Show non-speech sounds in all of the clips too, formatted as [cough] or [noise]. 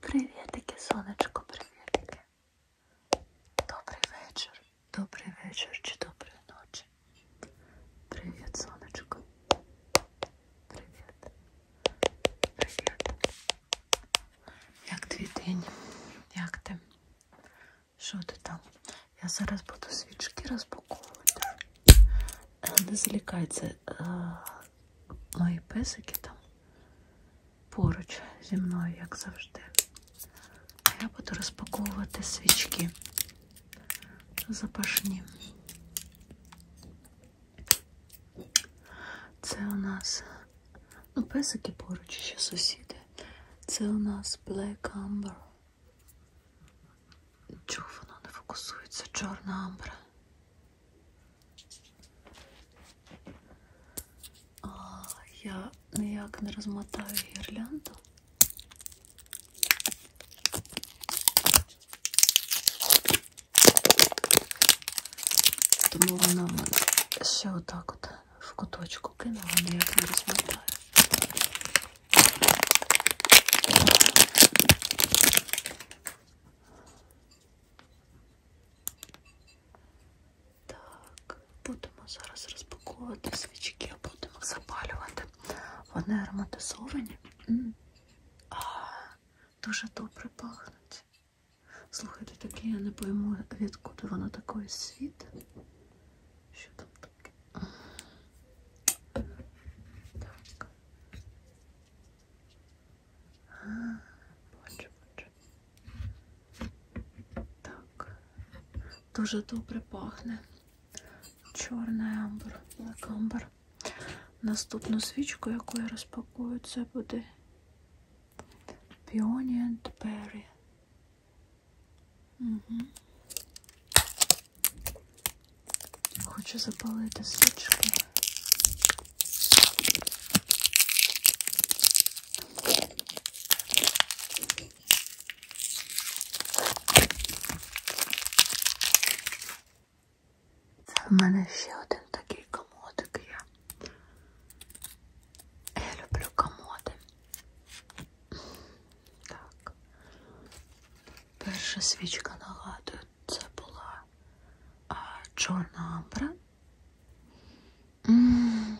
Привітики, сонечко, привітики. Добрий вечір, добрий вечір чи доброї ночі. Привіт, сонечко. Привіт. Привіт. Як твій день? Як ти? Що ти там? Я зараз буду свічки розпаковувати. Е, не залікай це Ой, песики там поруч зі мною, як завжди. А я буду розпаковувати свічки запашні. Це у нас, ну, песики поруч ще сусіди. Це у нас Black Amber. Чого воно не фокусується? Чорна амбра. А, Я ніяк не розмотаю гірлянду. Тому вона ще отак от в куточку кинула, ніяк не розмотаю. Так, будемо зараз розпаковувати свічки, будемо запалювати. Вони ароматизовані, а дуже добре пахнуть. Слухайте, таке я не пойму, відкуди воно такої світ. Що там таке? Так. Бачу, бачу. Так, дуже добре пахне. Чорний амбр, блекамбр. Наступну свічку, яку я розпакую, це буде Peony and Berry. Угу. Хочу запалити свічки. Це в мене ще один такий комодик є. Я люблю комоди. Так. Перша свічка нагадує, це була чорна амбра. Ммм,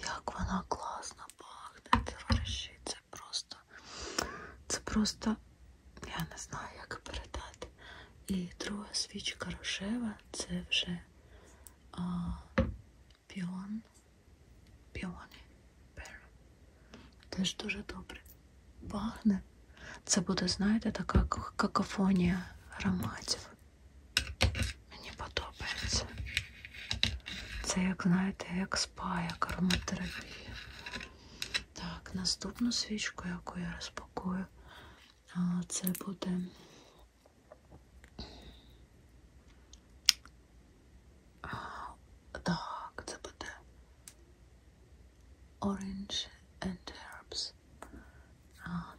як вона класно пахне, товариші. Це просто, це просто, я не знаю, як передати. І друга свічка рожева це вже а, піон. Піони. Теж дуже добре пахне. Це буде, знаєте, така какофонія ароматів. Мені подобається. Це, як, знаєте, як спа, як ароматерапія. Так, наступну свічку, яку я розпакую, це буде. Так, це буде Orange and herbs.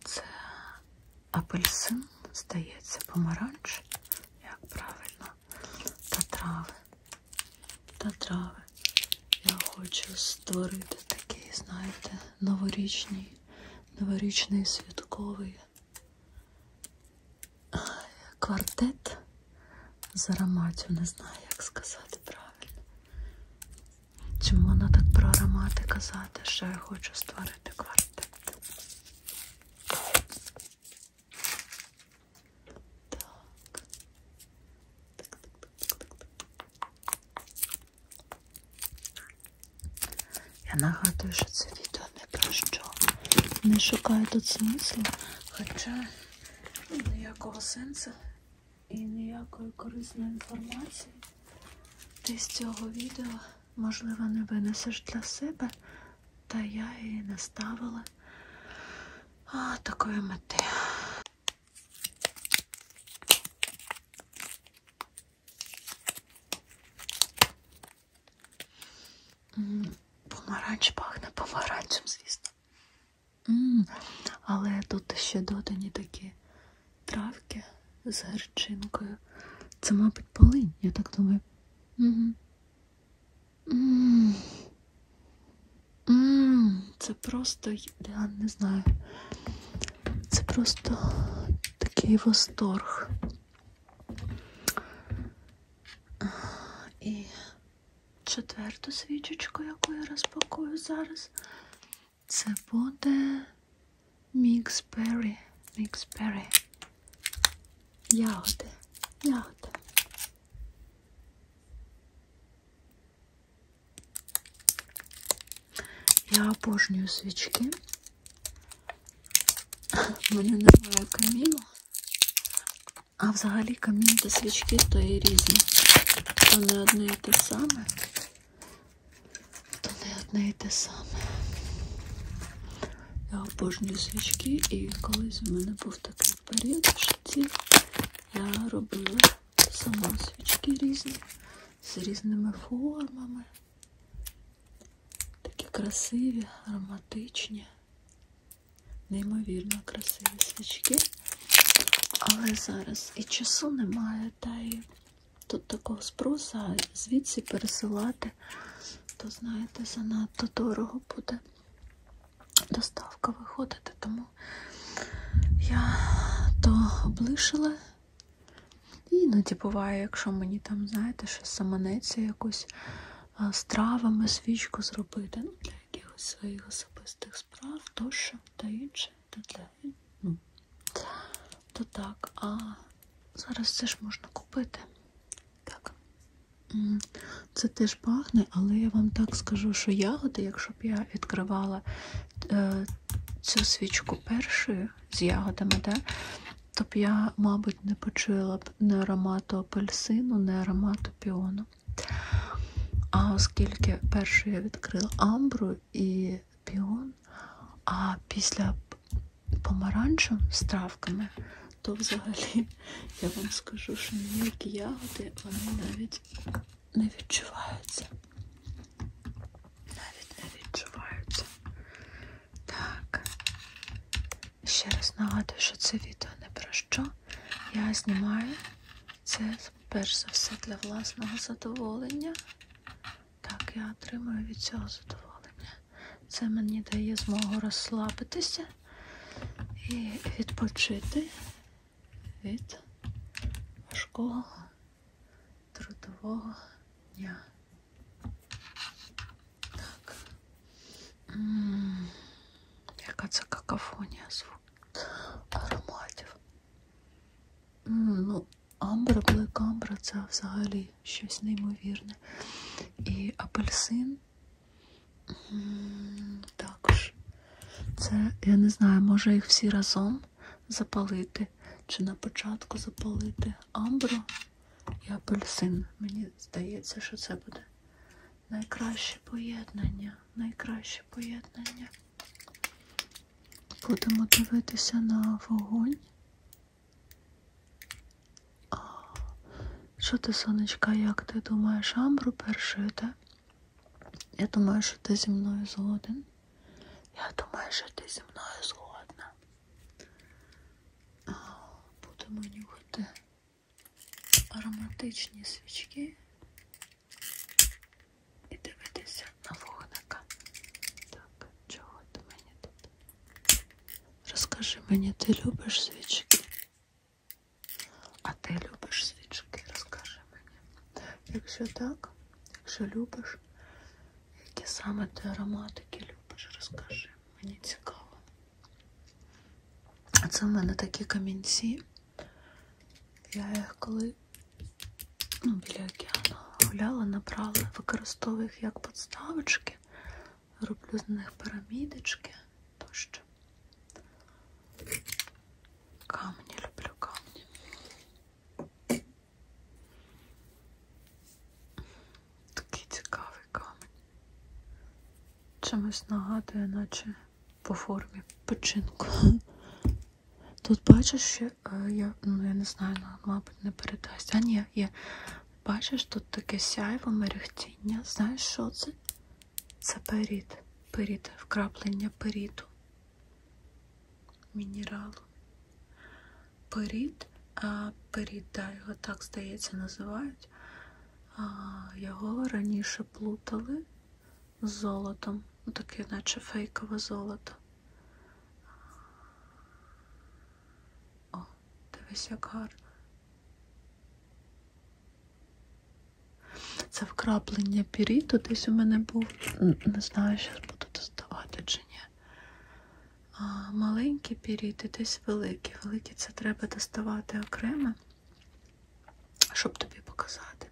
Це апельсин, здається, помаранч, як правильно, та трави. Та трави. Я хочу створити такий, знаєте, новорічний, новорічний святковий квартет з ароматів, не знаю, як сказати правильно. Чому вона так про аромати казати, що я хочу створити квартет? Так. Так, так, так, так. Я нагадую, що це відео не про що. Не шукаю тут смислу, хоча ніякого сенсу і ніякої корисної інформації ти з цього відео, можливо, не винесеш для себе, та я і не ставила а, такої мети. Помаранч пахне помаранчем, звісно. М -м, але тут ще додані такі травки з гарчинкою. Це, мабуть, полинь, я так думаю. Угу. М -м -м, це просто, я не знаю, це просто такий восторг. І четверту свічечку, яку я розпакую зараз. Це буде міксбері. Міксбері. Ягоди. Ягоди. Я обожнюю свічки. У мене немає каміну. А взагалі камін та свічки то і різні. То не одне і і те саме, то не одне і те саме. Я обожнюю свічки, і колись в мене був такий період в житті. Я робила сама свічки різні, з різними формами. Такі красиві, ароматичні, неймовірно красиві свічки. Але зараз і часу немає, та і тут такого спроса, а звідси пересилати, то, знаєте, занадто дорого буде доставка виходити. Тому я то облишила. І іноді буває, якщо мені там, знаєте, ще саманеться якусь з травами свічку зробити ну, для якихось своїх особистих справ тощо та інше, та для ну, то так. А зараз це ж можна купити. Так. Це теж пахне, але я вам так скажу, що ягоди, якщо б я відкривала е, цю свічку першою з ягодами, да, то б я, мабуть, не почула б не аромату апельсину, не аромату піону погано. А оскільки перший я відкрила амбру і піон, а після помаранчу з травками, то взагалі я вам скажу, що ніякі ягоди вони навіть не відчуваються. Навіть не відчуваються. Так, ще раз нагадую, що це відео не про що. Я знімаю це перш за все для власного задоволення. Так, я отримую від цього задоволення. Це мені дає змогу розслабитися і відпочити від важкого трудового дня. Так. М -м -м, яка це какафонія звук ароматів. Ну, Амбра, блек амбра це взагалі щось неймовірне. І апельсин. Також. Це, я не знаю, може їх всі разом запалити. Чи на початку запалити амбру і апельсин. Мені здається, що це буде найкраще поєднання, найкраще поєднання. Будемо дивитися на вогонь. О, що ти, сонечка, як ти думаєш, амбру першою, так? Я думаю, що ти зі мною згоден. Я думаю, що ти зі мною згодна. О, будемо нюхати ароматичні свічки і дивитися на вогника. Так, чого ти мені тут? Розкажи мені, ти любиш свічки? А ти любиш свічки? Розкажи мені. Якщо так, якщо любиш, які саме ти ароматики любиш, розкажи. Мені цікаво. А це в мене такі камінці. Я їх коли ну, біля океану гуляла, набрала, використовую їх як подставочки, роблю з них пирамідочки тощо. Камні люблю камні. Такий цікавий камінь. Чимось нагадує, наче по формі печінку. [laughs] Тут бачиш, ще, я ну, я не знаю, ну, мабуть, не передасть. А ні, є. Бачиш, тут таке сяйво, мерехтіння. Знаєш, що це? Це перід. Перід, вкраплення періду. Мінералу. Перід, а перід, да, його так, здається, називають. А, Його раніше плутали з золотом, таке, наче фейкове золото. О, дивись, як гарно. Це вкраплення піріту десь у мене був. Не знаю, що буду доставати чи ні. А, Маленькі піріти, десь великі. Великі це треба доставати окремо щоб тобі показати,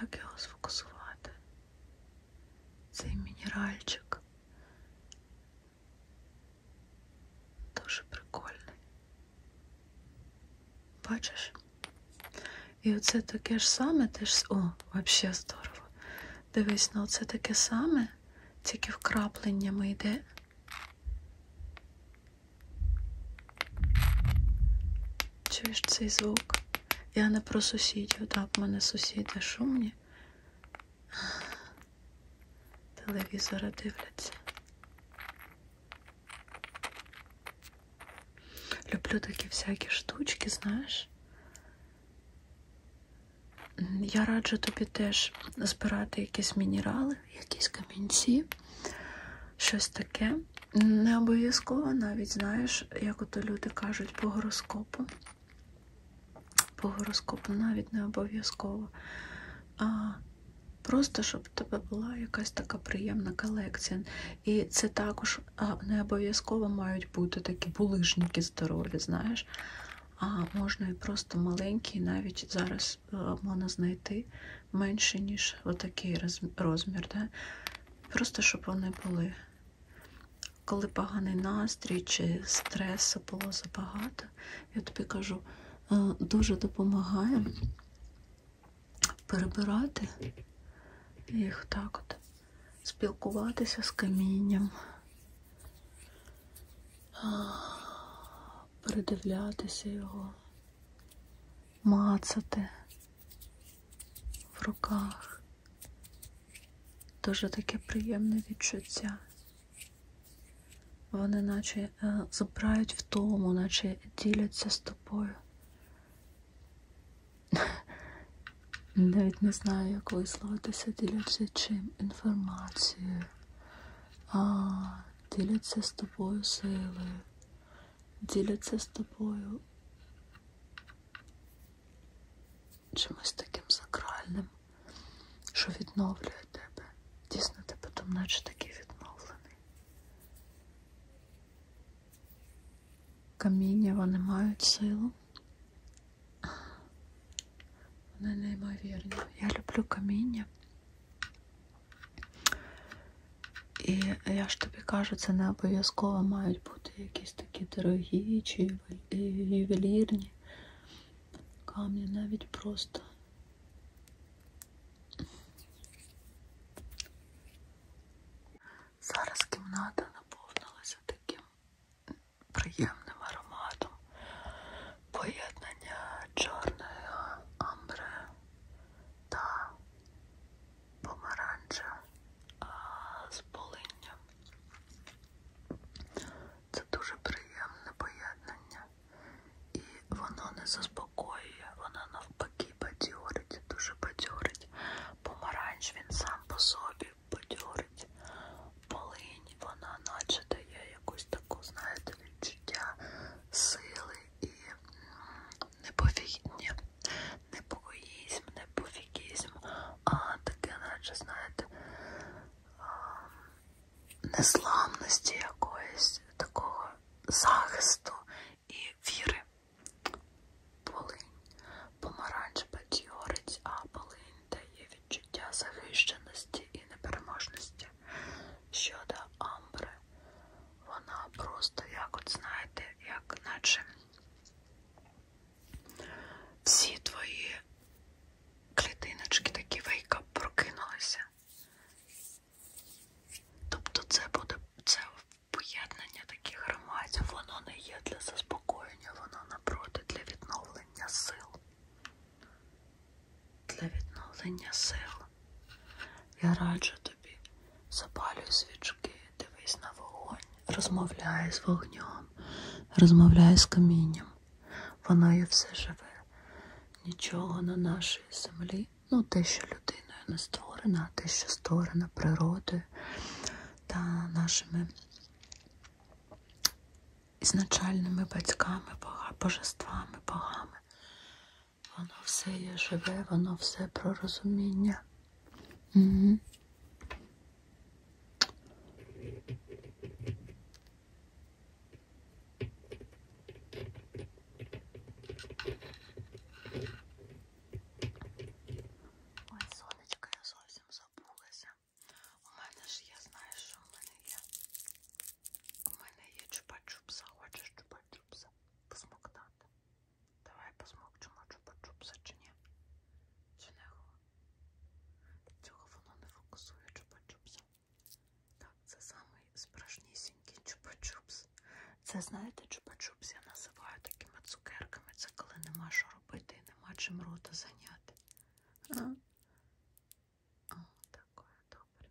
як його сфокусувати. Цей мінеральчик. Дуже прикольний. Бачиш? І оце таке ж саме теж. О, взагалі здорово. Дивись, ну оце таке саме, тільки вкрапленнями йде. Чуєш цей звук? Я не про сусідів, так, в мене сусіди шумні. Телевізора дивляться. Люблю такі всякі штучки, знаєш. Я раджу тобі теж збирати якісь мінерали, якісь камінці, щось таке. Не обов'язково навіть, знаєш, як ото люди кажуть по гороскопу. По гороскопу навіть не обов'язково. А Просто щоб у тебе була якась така приємна колекція. І це також не обов'язково мають бути такі булижники здорові, знаєш. А можна і просто маленькі, навіть зараз Е, можна знайти менше, ніж отакий розмір. Да? Просто щоб вони були. Коли поганий настрій чи стресу було забагато, я тобі кажу, е, дуже допомагає перебирати їх так от, спілкуватися з камінням передивлятися його, мацати в руках. Дуже таке приємне відчуття. Вони наче е, забирають втому, наче діляться з тобою. [laughs] Навіть не знаю, як висловитися, діляться чим інформацією а, діляться з тобою силою, діляться з тобою чимось таким сакральним, що відновлює тебе. Дійсно, ти потім наче такий відновлений. Каміння вони мають силу. Вони неймовірні. Я люблю каміння. І я ж тобі кажу, це не обов'язково мають бути якісь такі дорогі чи ювелірні камні, навіть просто. Зараз кімната наповнилася таким приємним ароматом. Поєднання чорного амбре та помаранча з полинням. Це дуже приємне поєднання. І воно не заспокоює, воно навпаки бадьорить, дуже бадьорить. Помаранч він сам по собі бадьорить, полинь, вона наче дає якусь таку, знаєте, відчуття сили і неповігіння, непокоїзм, неповігізм, а таке, наче, знаєте, незламності якоїсь, такого захисту і віри. Полинь, помаранч бадьорить, а полинь дає відчуття захищеності і непереможності. Щодо Амбри, вона просто, як от знаєте, як наче всі твої клітиночки такі вейка прокинулися. Тобто це буде це поєднання таких ароматів, воно не є для заспокоєння, воно напроти для відновлення сил для відновлення сил. Я раджу тобі, запалюй свічки, дивись на вогонь, розмовляй з вогнем, розмовляй з камінням. Воно є все живе. Нічого на нашій землі, ну те, що людиною не створена, те, що створена природою та нашими ізначальними батьками, божествами, богами. Воно все є живе, воно все про розуміння. Угу. Ой, сонечко, я зовсім забулася. У мене ж я знаю, що в мене є. У мене є чупа-чупса. Хочеш чупа-чупса? Посмоктати. Давай посмокчемо чупа-чупса чи ні? Чи не Цього воно не фокусує чупа-чупса. Так, це самий справжнісінький чупа-чупс. Це, знаєте, чупа-чупс я називаю такими цукерками. Це коли нема що робити і нема чим рота зайняти. А? О, такое, добре.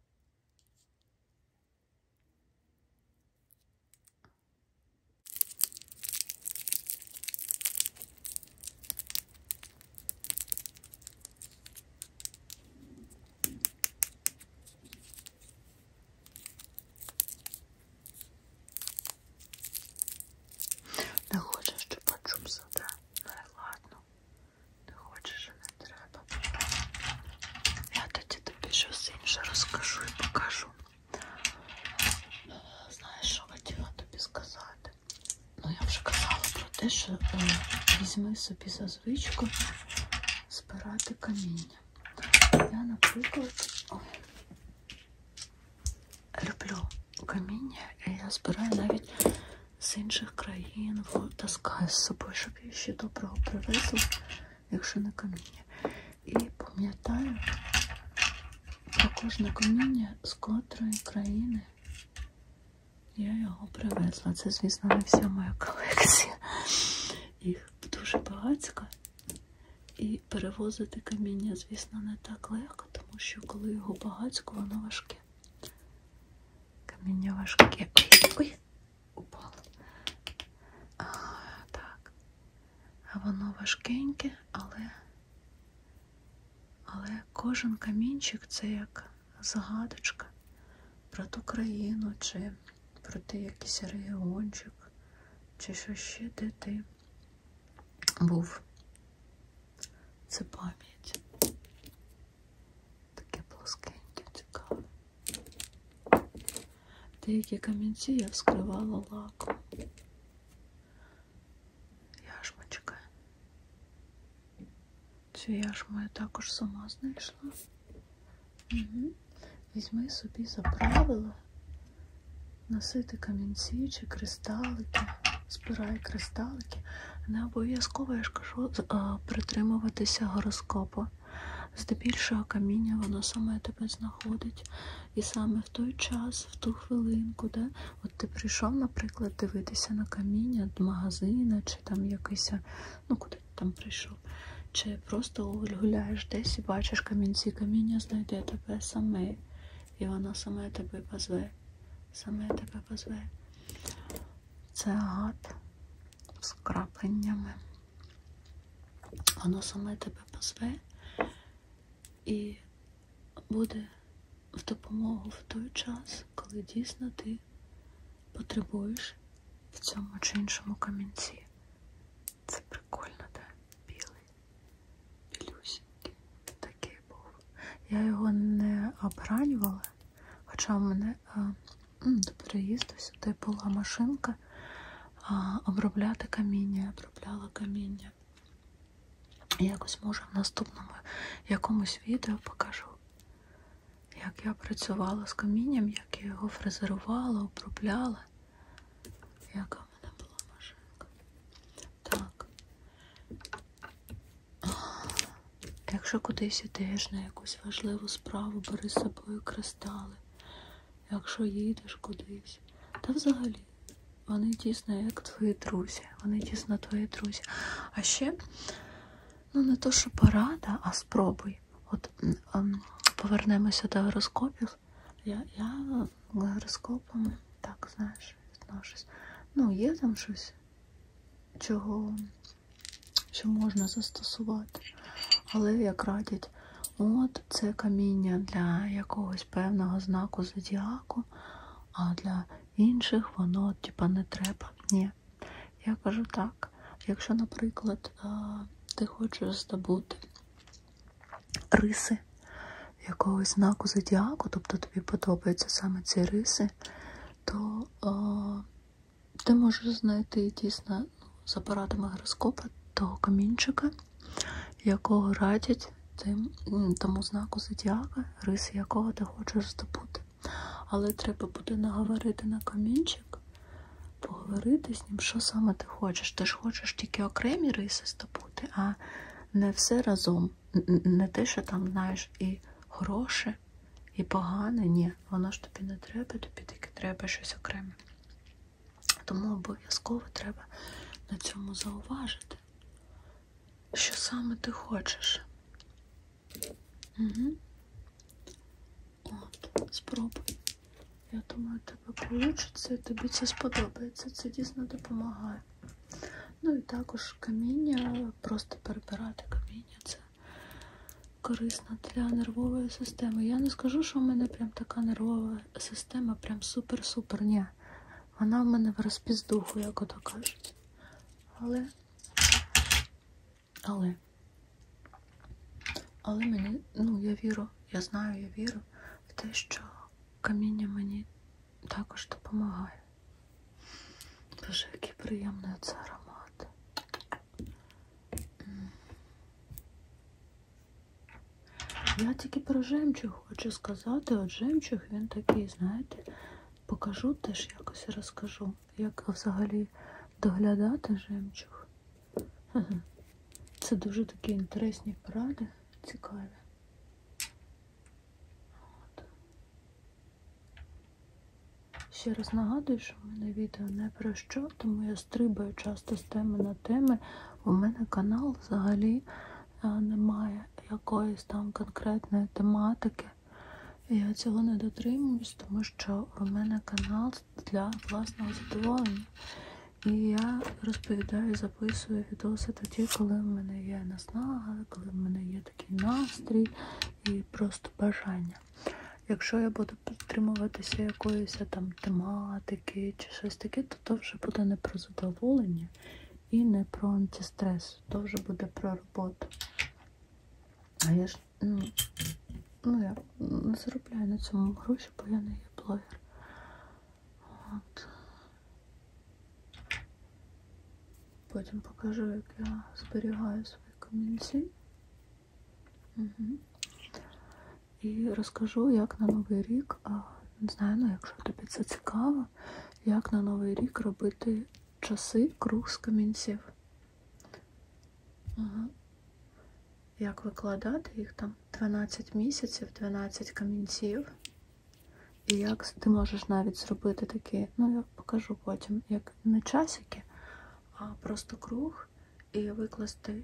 Не хочеш, щоб почувся, да? Ну і ладно. Не хочеш, не треба. Я тоді тобі щось інше розкажу і покажу. Знаєш, що хотіла тобі сказати? Ну, я вже казала про те, що е, візьми собі за звичку збирати каміння. Я, наприклад, о, люблю каміння, і я збираю навіть з інших країн таскаю з собою, щоб я ще доброго привезла, якщо не каміння. І пам'ятаю про кожне каміння, з котрої країни я його привезла. Це, звісно, не вся моя колекція. Їх дуже багатська. І перевозити каміння, звісно, не так легко, тому що коли його багатсько, воно важке. Каміння важке. Ой, упало. А, так. А воно важкеньке, але але кожен камінчик це як загадочка про ту країну, чи про те якийсь регіончик, чи що ще де ти був. Це пам'ять. Таке плоскеньке, цікаве. Деякі камінці я вскривала лаком. Яшмочка. Цю яшму я також сама знайшла. Угу. Візьми собі за правило носити камінці чи кристалики збираю кристалики. Не обов'язково я ж кажу е, притримуватися гороскопу. Здебільшого каміння воно саме тебе знаходить. І саме в той час, в ту хвилинку, де от ти прийшов, наприклад, дивитися на каміння до магазина, чи там якийсь, ну куди ти там прийшов, чи просто гуляєш десь і бачиш камінці, каміння знайде тебе саме і вона саме тебе позве. Саме тебе позве. Це агат з крапленнями. Воно саме тебе позве і буде в допомогу в той час, коли дійсно ти потребуєш в цьому чи іншому камінці. Це прикольно, так? Білий. Білюся. Такий був. Я його не обранювала, хоча в мене до переїзду сюди була машинка а, обробляти каміння, обробляла каміння. Якось може в наступному якомусь відео покажу, як я працювала з камінням, як я його фрезерувала, обробляла. Яка в мене була машинка. Так. Якщо кудись ідеш на якусь важливу справу, бери з собою кристали. Якщо їдеш кудись, та взагалі вони дійсно як твої друзі. Вони дійсно твої друзі. А ще, ну не то, що порада, а спробуй. От ем, повернемося до гороскопів. Я я гороскопами, так, знаєш теж відношусь. Ну, є там щось, чого, що можна застосувати. Але як радять, от це каміння для якогось певного знаку зодіаку, а для інших воно типа не треба. Ні. Я кажу так, якщо, наприклад, е, ти хочеш здобути риси якогось знаку зодіаку, тобто тобі подобаються саме ці риси, то о, е, ти можеш знайти дійсно ну, з апаратами гороскопа того камінчика, якого радять тим, тому знаку зодіака, риси якого ти хочеш здобути. Але треба буде наговорити на камінчик, поговорити з ним, що саме ти хочеш. Ти ж хочеш тільки окремі риси здобути, а не все разом не те, що там, знаєш, і хороше, і погане, ні, воно ж тобі не треба, тобі тільки треба щось окреме. Тому обов'язково треба на цьому зауважити, що саме ти хочеш. Угу. От, спробуй. Я думаю, тебе вийде, тобі це сподобається. Це дійсно допомагає. Ну і також каміння, просто перебирати каміння це корисно для нервової системи. Я не скажу, що в мене прям така нервова система, прям супер-супер. Ні. Вона в мене в розпіздуху, як ото кажуть. Але, але, але мені, ну, я вірю, я знаю, я вірю в те, що каміння мені також допомагає. Боже, який приємний оце аромат. Я тільки про жемчуг хочу сказати, от жемчуг він такий, знаєте, покажу теж якось розкажу, як взагалі доглядати жемчуг. Це дуже такі інтересні поради, цікаві. От. Ще раз нагадую, що в мене відео не про що, тому я стрибаю часто з теми на теми. У мене канал взагалі е, немає якоїсь там конкретної тематики. Я цього не дотримуюсь, тому що у мене канал для власного задоволення. І я розповідаю, записую відоси тоді, коли в мене є наснага, коли в мене є такий настрій і просто бажання. Якщо я буду підтримуватися якоїсь там тематики чи щось таке, то то вже буде не про задоволення і не про антистрес, то вже буде про роботу. А я ж ну, ну я не заробляю на цьому гроші, бо я не є блогер. От. Потім покажу, як я зберігаю свої камінці. Угу. І розкажу, як на Новий рік, не знаю, ну, якщо тобі це цікаво, як на Новий рік робити часи круг з камінців. Угу. Як викладати їх там 12 місяців, 12 камінців. І як ти можеш навіть зробити такі, ну я покажу потім, як не часики, а просто круг, і викласти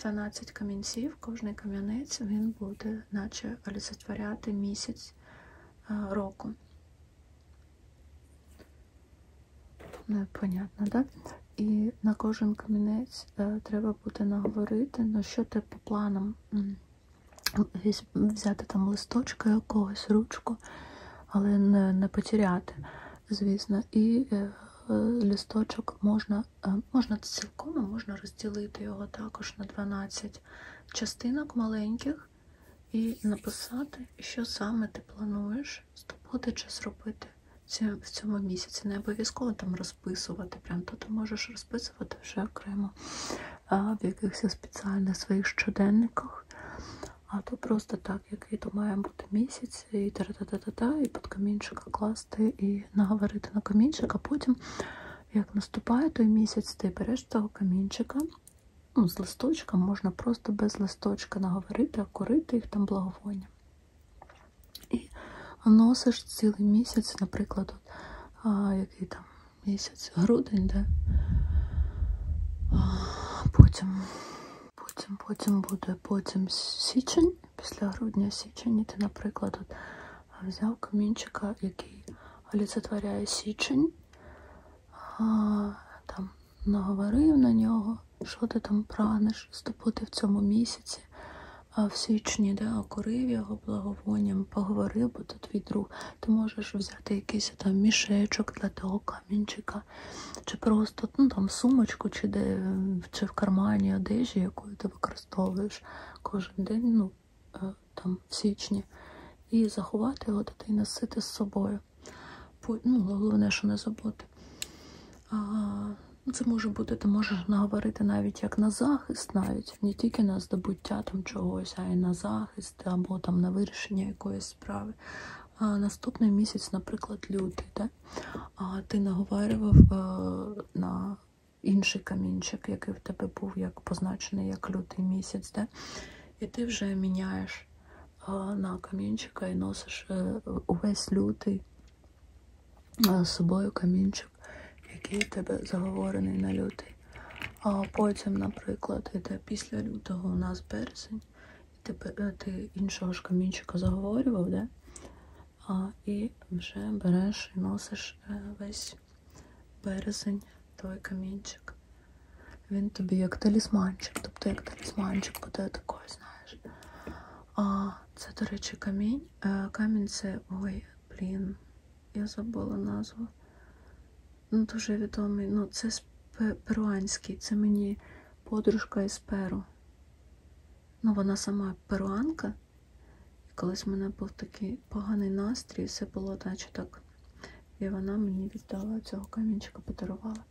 12 е, камінців, кожний кам'янець він буде, наче олицетворяти місяць е, року. Непонятно, ну, так? І на кожен камінець е, треба буде наговорити, ну що ти по планам взяти там листочка якогось, ручку, але не, не потеряти, звісно. І е, е, листочок можна е, можна цілком, можна розділити його також на 12 частинок маленьких і написати, що саме ти плануєш здобути чи зробити в цьому місяці. Не обов'язково там розповідати розписувати. Прям то ти можеш розписувати вже окремо в якихось спеціальних своїх щоденниках. А то просто так, який то має бути місяць, і та-та-та-та-та, і під камінчика класти, і наговорити на камінчик, а потім, як наступає той місяць, ти береш того камінчика. Ну, з листочка можна просто без листочка наговорити, а корити їх там благовоння. І носиш цілий місяць, наприклад, от, а, який там місяць, грудень, да? Потім, потім, потім буде потім січень, після грудня січень, і ти, наприклад, от, взяв камінчика, який олицетворяє січень, а, там наговорив на нього, що ти там прагнеш здобути в цьому місяці. А в січні да, окурив його благовонням, поговорив, бо то твій друг, ти можеш взяти якийсь там мішечок для того камінчика, чи просто ну, там, сумочку, чи де, чи в кармані одежі, яку ти використовуєш кожен день, ну, е, там, в січні, і заховати його та й носити з собою. Ну, Головне, що не забути. А, Це може бути, ти можеш наговорити навіть як на захист, навіть спрямовуються не тільки на здобуття там чогось, а й на захист або там на вирішення якоїсь справи. А Наступний місяць, наприклад, лютий, да? а ти наговарював е, на інший камінчик, який в тебе був як позначений як лютий місяць, да? і ти вже міняєш е, на камінчика і носиш е, увесь лютий з собою камінчик кусочок, який у тебе заговорений на лютий. А потім, наприклад, іде після лютого у нас березень, і тебе, ти іншого ж камінчика заговорював, да? а, і вже береш і носиш е, весь березень, той камінчик. Він тобі як талісманчик, тобто як талісманчик буде такою, знаєш. А це, до речі, камінь. Е, камінь це ой, Блін, я забула назву. Ну, Дуже відомий. Ну, це перуанський, це мені подружка із Перу. Ну, вона сама перуанка. І колись в мене був такий поганий настрій, все було наче так. І вона мені віддала цього камінчика, подарувала.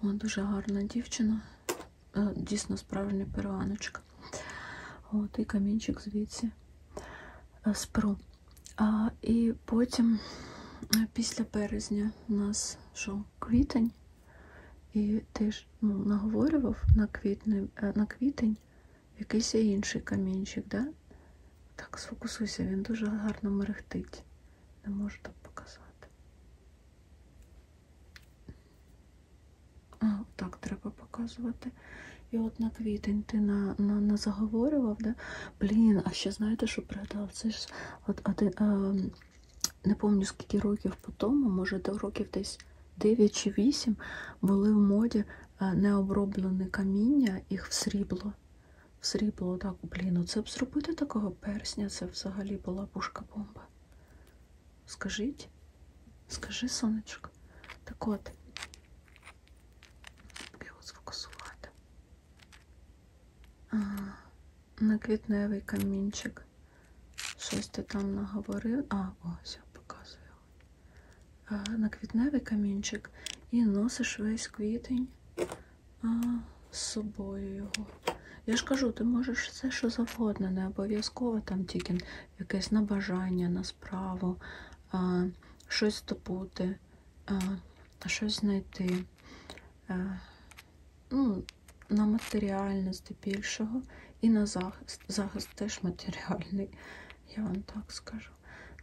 Вона [clears throat] дуже гарна дівчина. Е, дійсно справжня перуаночка. От, І камінчик звідси з е, перу. А, І потім, е, після березня, у нас що, квітень, і теж ну, наговорював на квітне, на квітень якийсь інший камінчик. да? Так, сфокусуйся, він дуже гарно мерехтить. Не можу так показати. А, так, треба показувати. І от на квітень ти на, на, на заговорював, да? Блін, а ще знаєте, що пригадав? Це ж от, один, а, не пам'ятаю, скільки років по тому, може, до років десь 9 чи 8 були в моді е, необроблене каміння, їх в срібло. В срібло, так, блін, оце б зробити такого персня, це взагалі була пушка-бомба. Скажіть? Скажи, сонечко. Так от. Як його сфокусувати? А, на квітневий камінчик. Щось ти там наговорив. А, ось я показую. А, на квітневий камінчик і носиш весь квітень а, з собою його. Я ж кажу, ти можеш все, що завгодно, не обов'язково там тільки якесь на бажання, на справу, щось добути, щось знайти, ну, на матеріальне здебільшого, і на захист. Захист теж матеріальний, я вам так скажу.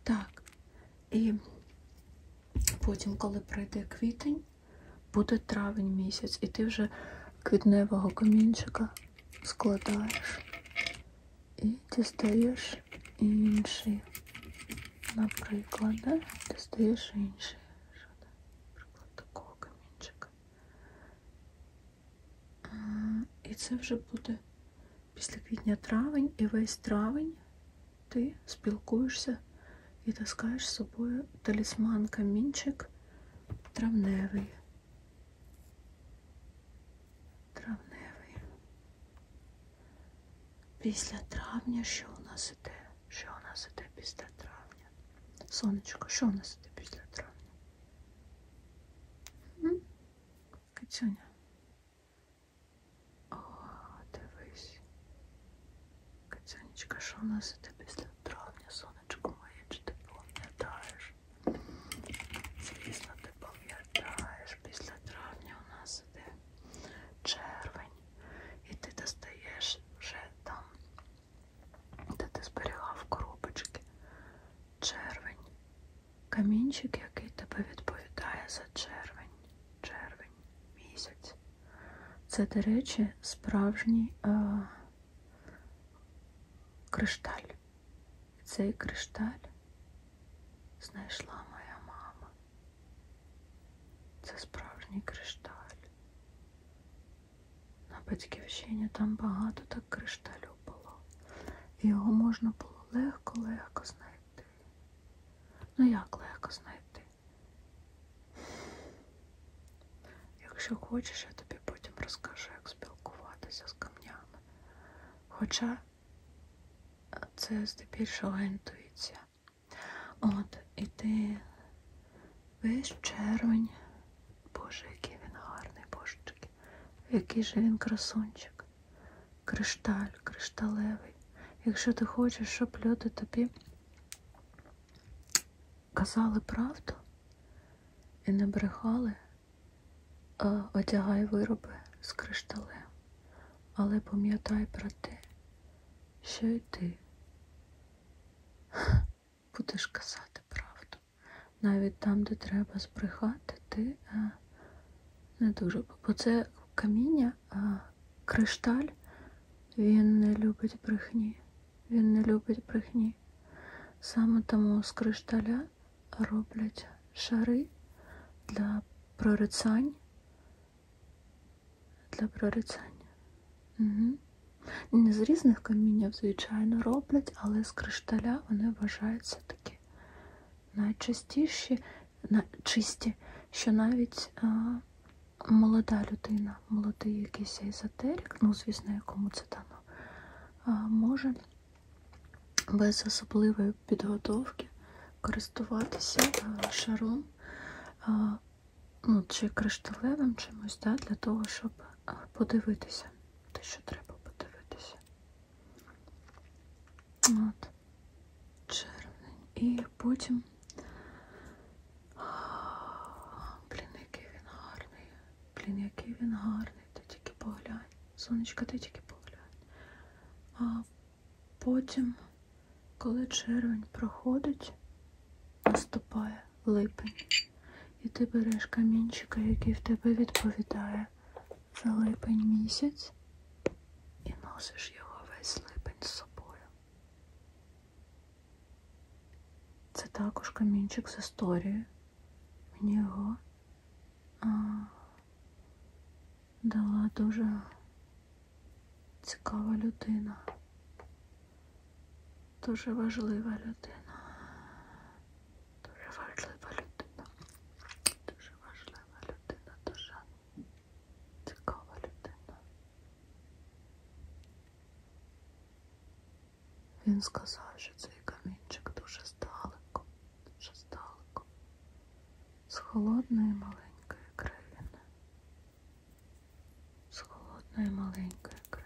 Так, і потім, коли прийде квітень, буде травень місяць, і ти вже квітневого камінчика складаєш і дістаєш інший. Наприклад, да? дістаєш інший. Наприклад, такого камінчика. І це вже буде після квітня-травень і весь травень ти спілкуєшся і таскаєш з собою талісман камінчик травневий. Травневий. Після травня що у нас іде? Що у нас іде після травня? Сонечко, що у нас іде після травня? Кацюня. О, дивись. Кацюнечка, що у нас іде після травня? Сонечко. Сонечко моє, чи ти пам'ятаєш? Звісно, ти пам'ятаєш, після травня у нас іде червень, і ти достаєш вже там, де ти зберігав коробочки. Червень. Камінчик, який тебе відповідає за червень, червень місяць. Це, до речі, справжній е, кришталь. Цей кришталь знайшла моя мама. Це справжній кришталь. На батьківщині там багато так кришталю було. І його можна було легко-легко знайти. Ну як легко знайти? Якщо хочеш, я тобі потім розкажу, як спілкуватися з камнями. Хоча це здебільшого інтуїція. От, і ти весь червень, боже, який він гарний, божечки, який же він красунчик, кришталь, кришталевий. Якщо ти хочеш, щоб люди тобі казали правду і не брехали, а одягай вироби з кришталем, але пам'ятай про те, що й ти [laughs] будеш казати правду. Навіть там, де треба збрехати, ти а, е, не дуже. Бо це каміння, а е, кришталь, він не любить брехні. Він не любить брехні. Саме тому з кришталя роблять шари для прорицань. Для прорицання. Угу. Не з різних каміння, звичайно, роблять, але з кришталя вони вважаються такі найчистіші, на, чисті, що навіть а, молода людина, молодий якийсь езотерик, ну, звісно, якому це дано може без особливої підготовки користуватися е, шаром е, ну, чи кришталевим чимось, да, для того, щоб е, подивитися те, що треба подивитися. От, червень. І потім Блін, який він гарний. Блін, який він гарний. Ти тільки поглянь. Сонечко, ти тільки поглянь. А потім, коли червень проходить, наступає липень. І ти береш камінчика, який в тебе відповідає за липень місяць, і носиш його весь липень з собою. Це також камінчик з історією. Мені його а, дала дуже цікава людина, дуже важлива людина, дуже важлива людина, дуже важлива людина, дуже цікава людина. Він сказав, що цей камінчик дуже здалеко, дуже здалеко, з холодної маленької країни, з холодної маленької країни.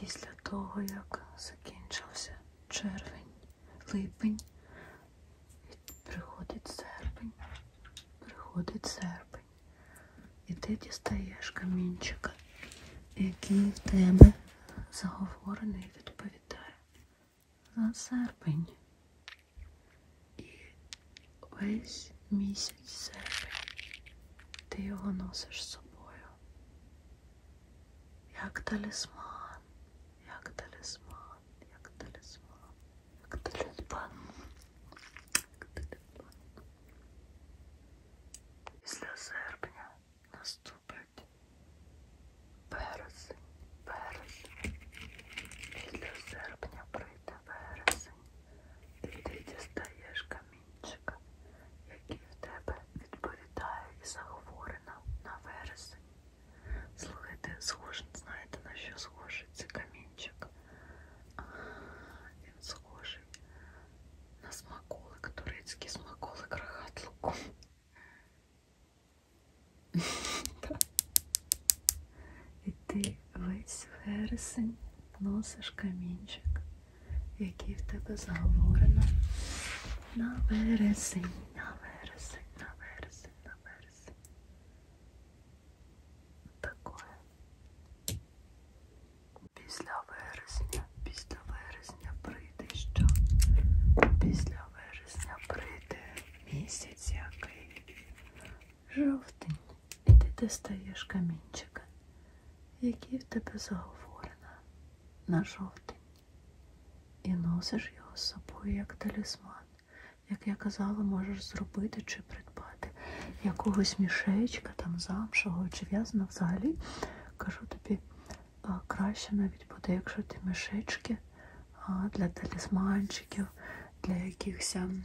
Після того, як закінчився червень, липень, приходить серпень, приходить серпень. І ти дістаєш камінчика, який в тебе заговорений відповідає за серпень. І весь місяць серпень ти його носиш з собою. Як талісман, як талісман, як талісман, як талісман. Як талісман. Після серпня наступний наступить березень, березень. Після серпня прийде березень. І ти дістаєш камінчика, який в тебе відповідає і захворена на вересень. Слухайте, схожий, знаєте на що схожий цей камінчик? А, він схожий схоже на смаколик, турецький смаколик рогат луком. [laughs] І ти весь вересень носиш камінчик, який в тебе заговорено на вересень, на вересень, на вересень, на вересень. Такое. Після вересня, після вересня прийде що? Після вересня прийде місяць який жовтень. І ти достаєш камінчика, який в тебе заговорено на жовтень. І носиш його з собою як талісман. Як я казала, можеш зробити чи придбати якогось мішечка, там замшого чи в'язана взагалі Кажу тобі, краще навіть буде, якщо ти мішечки для талісманчиків, для якихось ем,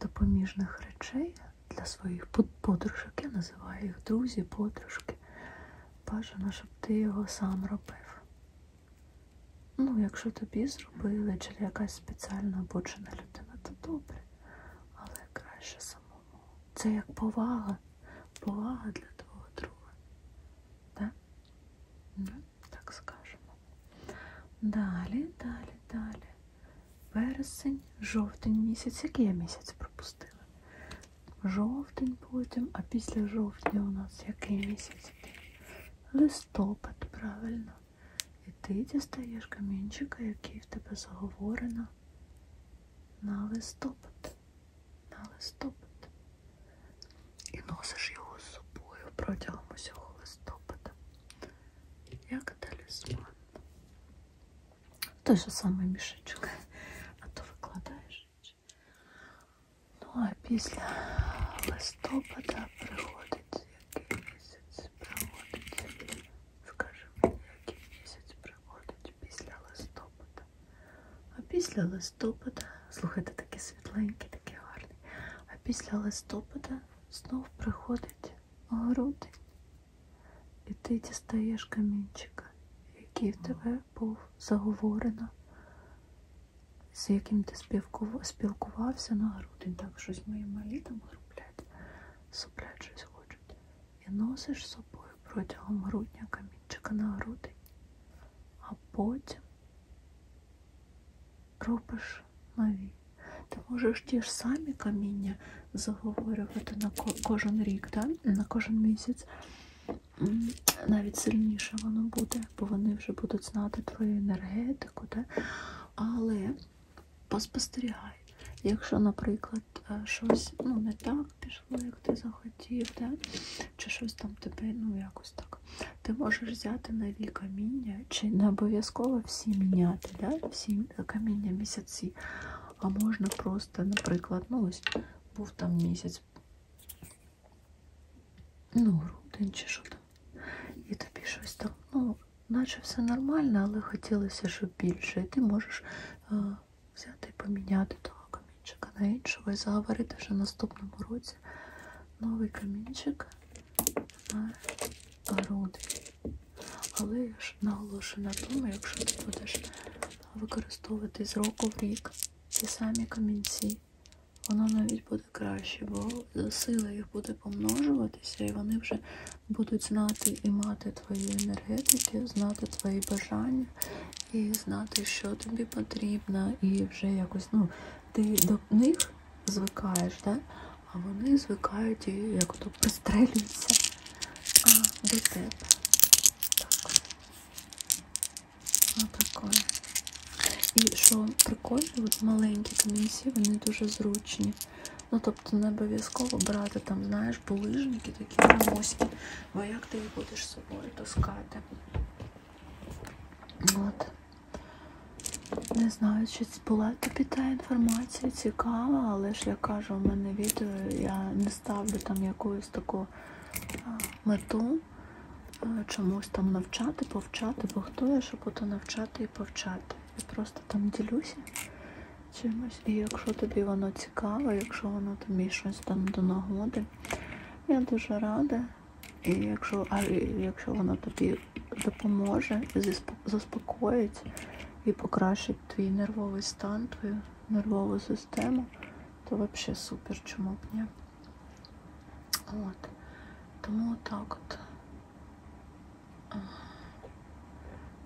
допоміжних речей для своїх подружок. Я називаю їх друзі, подружки. Бажано, щоб ти його сам робив. Ну, якщо тобі зробили, чи якась спеціально обучена людина, то добре. Але краще самому. Це як повага. Повага для твого друга. Так? Ну, так скажемо. Далі, далі, далі. Вересень, жовтень місяць. Який я місяць пропустила? Жовтень потім, а після жовтня у нас який місяць? Листопад, правильно. І ти дістаєш камінчика, який в тебе заговорено на листопад. На листопад. І носиш його з собою протягом усього листопада. Як талісман. Той же самий мішечок. А то викладаєш. Ну, а після листопада приходить який місяць проводить, скажи мені, який місяць проводить після листопада. А після листопада, слухайте, такий світленький, такий гарний. А після листопада знов приходить грудень. І ти дістаєш камінчика, який в тебе був заговорено з яким ти спілкувався на грудень. Так, щось мої малі там грублять, суплять щось хочуть. І носиш з собою протягом грудня камінчика на грудень, а потім робиш нові. Ти можеш ті ж самі каміння заговорювати на кожен рік, да? на кожен місяць. Навіть сильніше воно буде, бо вони вже будуть знати твою енергетику. Да? Але поспостерігай, якщо, наприклад, е, щось ну, не так пішло, як ти захотів, да? чи щось там тебе, ну якось так, ти можеш взяти нові каміння, чи не обов'язково всі міняти, да? всі каміння місяці. А можна просто, наприклад, ну ось був там місяць, ну, грудень чи що там. І тобі щось так, ну, наче все нормально, але хотілося, щоб більше. І ти можеш е, взяти і поміняти того камінчика на іншого і заговорити вже в наступному році новий камінчик на груди. Але я ж наголошую на тому, якщо ти будеш використовувати з року в рік ті самі камінці, воно навіть буде краще, бо сила їх буде помножуватися, і вони вже будуть знати і мати твої енергетики, знати твої бажання, і знати, що тобі потрібно, і вже якось ну, ти до них звикаєш, да? а вони звикають і як то пристрелюються до тебе. Так. Отакої. І що прикольно, от маленькі камінці, вони дуже зручні. Ну, тобто не обов'язково брати там, знаєш, булижники такі громоздкі, бо як ти їх будеш з собою таскати. От. Не знаю, чи була тобі та інформація цікава, але ж я кажу, у мене відео я не ставлю там якусь таку мету. Е, чомусь там навчати, повчати, бо хто я, щоб ото навчати і повчати. Я просто там ділюся чимось. І якщо тобі воно цікаво, якщо воно тобі щось там до нагоди, я дуже рада. І якщо а якщо воно тобі допоможе, заспокоїть і покращить твій нервовий стан, твою нервову систему, то взагалі супер, чому б ні. От. Тому так от.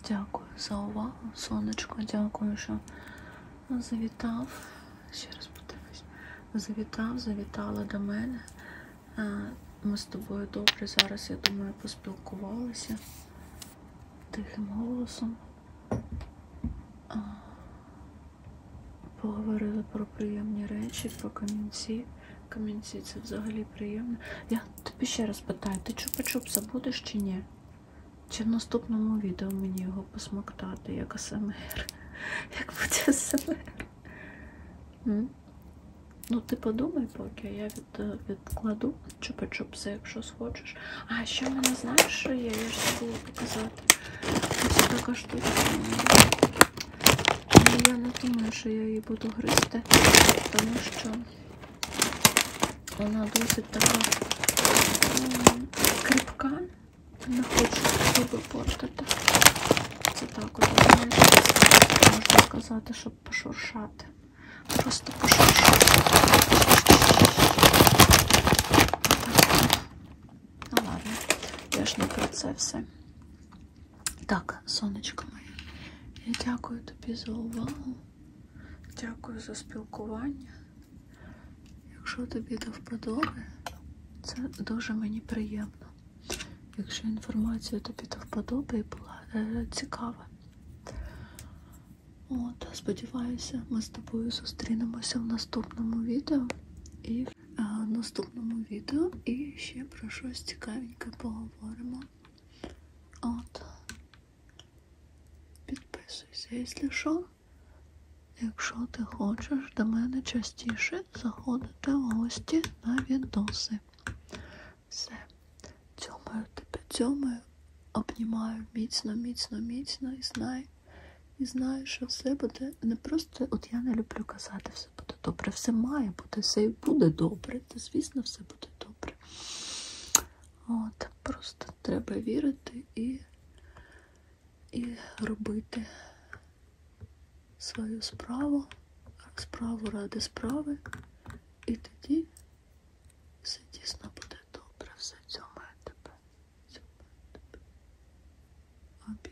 Дякую за увагу, сонечко, дякую, що завітав. Ще раз подивлюсь. Завітав, завітала до мене. Е, ми з тобою добре зараз, я думаю, поспілкувалися тихим голосом. Е, поговорили про приємні речі, про камінці. Камінці, це взагалі приємно. Я тобі ще раз питаю, ти чупа-чупса будеш чи ні? Чи в наступному відео мені його посмоктати, як АСМР? [laughs] Як буде АСМР? Ну, ти подумай, поки я від, е, відкладу чупа-чупси, якщо схочеш. А ще в мене знаєш, що є, я ж забула показати. Ось така штука. Я не думаю, що я її буду гризти, тому що вона досить така кріпка. Не хочу зуби портити. Це так от можна сказати, щоб пошуршати. Просто пошуршати. Ну ладно, я ж не про це все. Так, сонечко моє, я дякую тобі за увагу, дякую за спілкування. Якщо тобі до вподоби, це дуже мені приємно. Якщо інформація тобі до вподоби і була е, цікава. От, Сподіваюся, ми з тобою зустрінемося в наступному відео. І наступному відео і ще про щось цікавеньке поговоримо. От. Підписуйся, якщо що. Якщо ти хочеш до мене частіше заходити в гості на відоси. Все. Цьомаю тебе, цьомаю, обнімаю міцно, міцно, міцно і знай. І знаю, що все буде не просто, от я не люблю казати все буде добре, все має бути, все і буде добре. Та, звісно, все буде добре. От, Просто треба вірити і, і робити свою справу, справу ради справи, і тоді все дійсно буде добре, все цьому тебе. Цьому тебе.